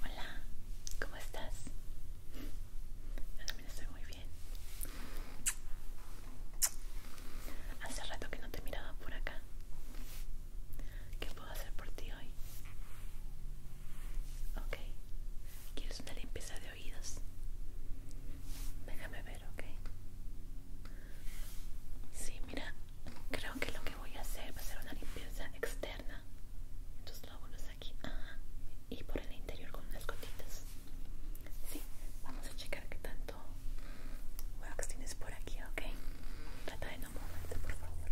Hola, ¿cómo estás? Yo también estoy muy bien. Hace rato que no te miraba por acá. ¿Qué puedo hacer por ti hoy? Ok. ¿Quieres una limpieza de oídos? Déjame ver, ok. Sí, mira, Creo que lo que voy a hacer va a ser una limpieza externa. Entonces Los lóbulos aquí. Y por el interior con unas gotitas. Sí, vamos a checar qué tanto wax tienes por aquí, ¿ok? Trata de no moverte, por favor.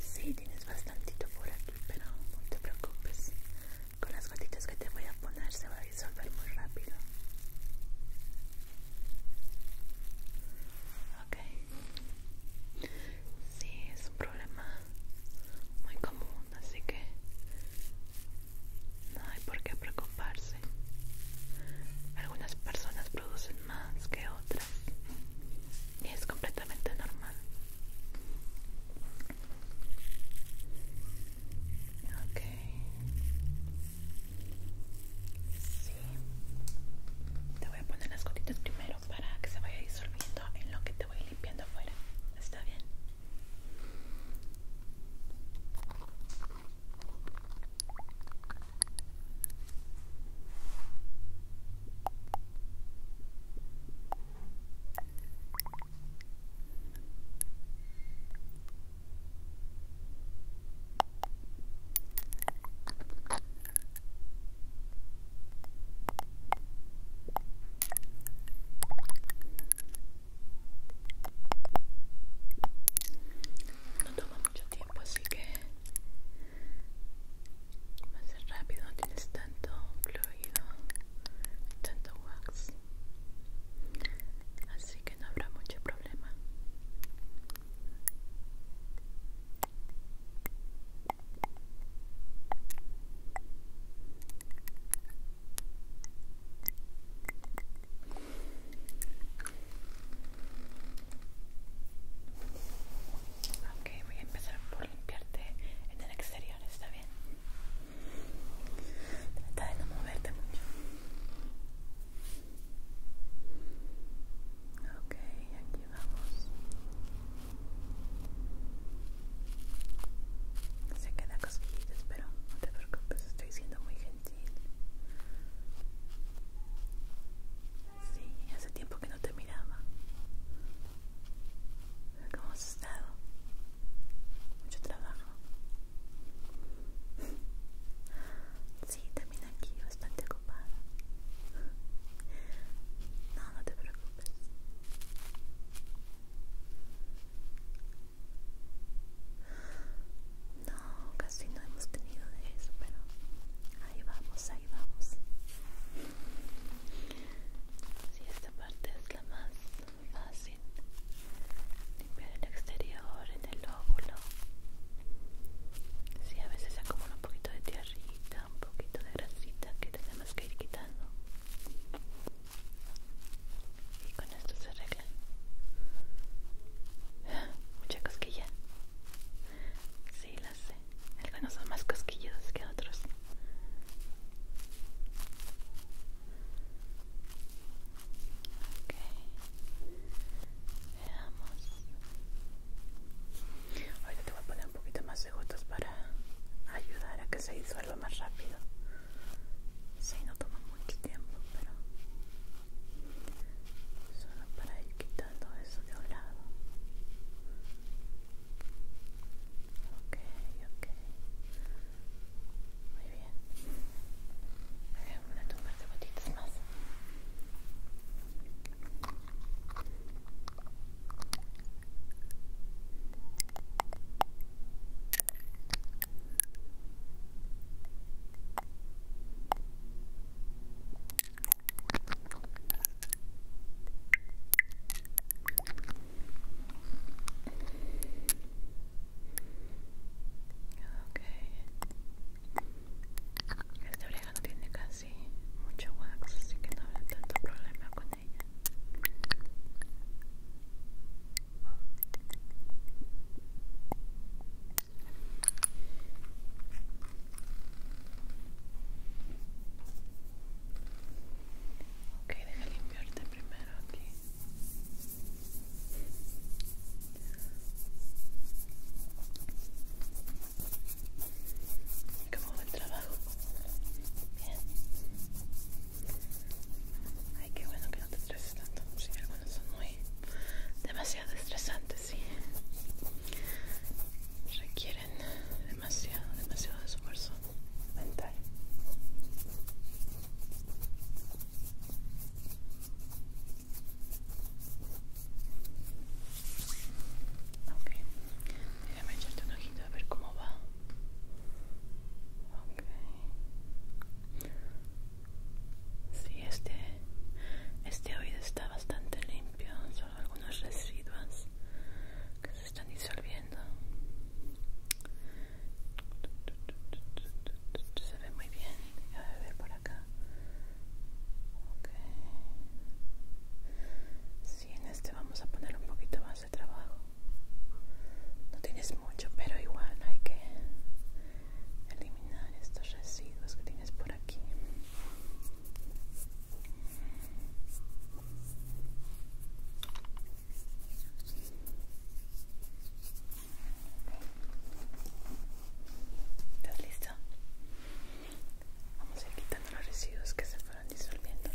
Sí, tienes bastantito por aquí, pero no te preocupes con las gotitas que te voy a poner se va a disolver muy rápido ok sí es un problema muy común así que no hay por qué preocuparse algunas personas producen más que otras y es completamente normal Ok. Sí. Te voy a poner las gotitas primero para que se vaya disolviendo en lo que te voy limpiando afuera. ¿Está bien? No toma mucho tiempo, así que va a ser rápido, tienes tanto fluido, tanto wax, así que no habrá mucho problema. Ok, voy a empezar por limpiarte en el exterior, ¿está bien? Trata de no moverte mucho. Ok, aquí vamos. Se queda cosquillito, pero no te preocupes, estoy siendo muy gentil. Sí, hace tiempo que no te miraba. ¿Cómo has estado? Mucho trabajo. Sí, también aquí bastante ocupada. No, no te preocupes. No, casi no hemos tenido de eso, pero ahí vamos, ahí vamos. Si esta parte es la más fácil, limpiar el exterior en el óvulo. Si a veces acumula un poquito de tierrita, un poquito de grasita que tenemos que ir quitando. Y con esto se arregla. Mucha cosquilla. Sí, las sé. Algunos son más cosquillosos que otros. Ok. Veamos. Ahorita te voy a poner un poquito más de gotas para ayudar a que se disuelva más rápido. Sí, no toma mucho tiempo, pero solo para quitar todo eso de un lado. Ok, ok. Muy bien. Voy eh, una toma de gotitas más. Ok. Esta oreja no tiene casi mucho wax, así que no habrá tanto problema con ella. Ok, deja limpiarte primero aquí. ¿Cómo va el trabajo? Bien. Ay, qué bueno que no te estreses tanto. si algunos son muy demasiado demasiado estresantes sí requieren demasiado, demasiado esfuerzo mental. Ok, déjame echarte un ojito a ver cómo va. Sí, este, este oído está bastante limpio, solo algunos residuos que se están disolviendo. Se ve muy bien. A ver por acá. Okay. Sí, en este vamos a poner un poquito más de trabajo. No tienes mucho, pero igual hay que eliminar estos residuos que tienes por aquí ¿Estás listo? Vamos a ir quitando los residuos que se fueron disolviendo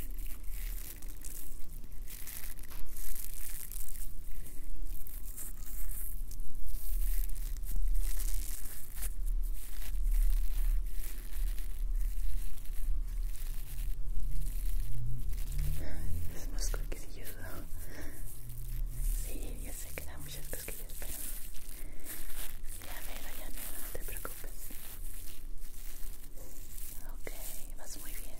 es más coquilludo Sí, ya sé que da muchas cosquillas, pero ya me ya no te preocupes. Ok, vas muy bien.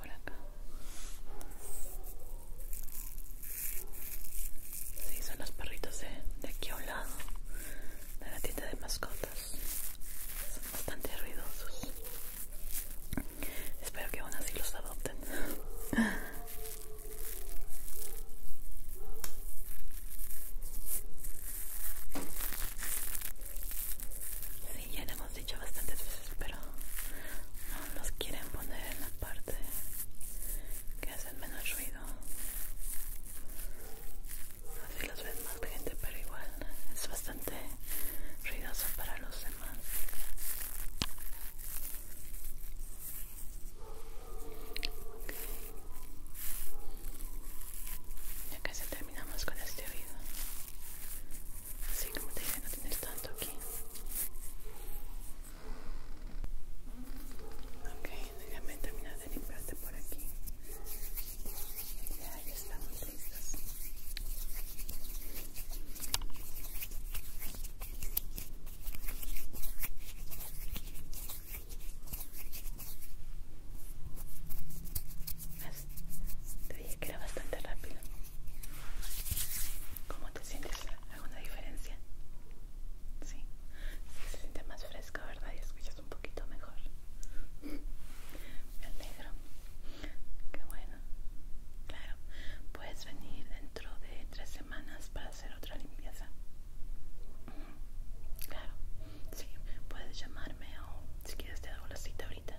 por acá. Sí, son los perritos de, aquí a un lado, de la tienda de mascotas. Son bastante ruidosos. Espero que aún así los adopten. Sí, ya dicho bastantes veces, pero no los quieren poner en la parte que hacen menos ruido. Así los ven más gente, pero igual es bastante ruidoso para los demás. ya Ya casi terminamos con esto Así como te dije, no tienes tanto aquí. Ok, déjame terminar de limpiarte por aquí. Ya, ya estamos listos. Te dije que era bastante rápido. ¿Cómo te sientes? ¿Alguna diferencia? Sí, se siente más fresco, ¿verdad? Y escuchas un poquito mejor. Me alegro. Qué bueno. Claro, puedes venir dentro de tres semanas para hacer otra limpieza. Claro, Sí, puedes llamarme o si quieres te hago la cita ahorita.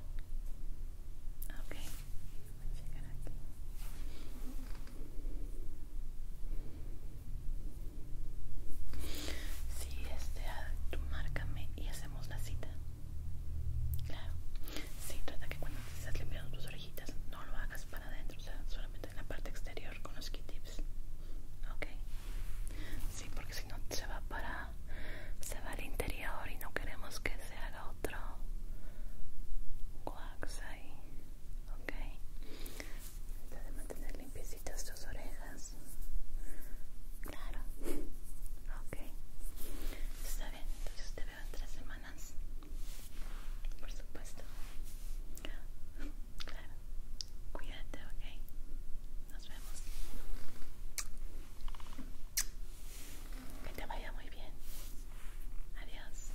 Ah, ok. Voy a Sí, este, tú márcame y hacemos la cita. Claro. Sí, trata que cuando estés limpiando tus orejitas no lo hagas para adentro, o sea, solamente en la parte exterior con los Q-tips. Ok. Sí, porque si no se va para. Se va al interior y no queremos que se haga otro wax ahí. Ok. de mantener limpiecitas tus orejas. Claro. Ok. Está bien. Entonces te veo en tres semanas. Por supuesto. Claro. Cuídate, ok. Nos vemos. Que te vaya muy bien. Adiós.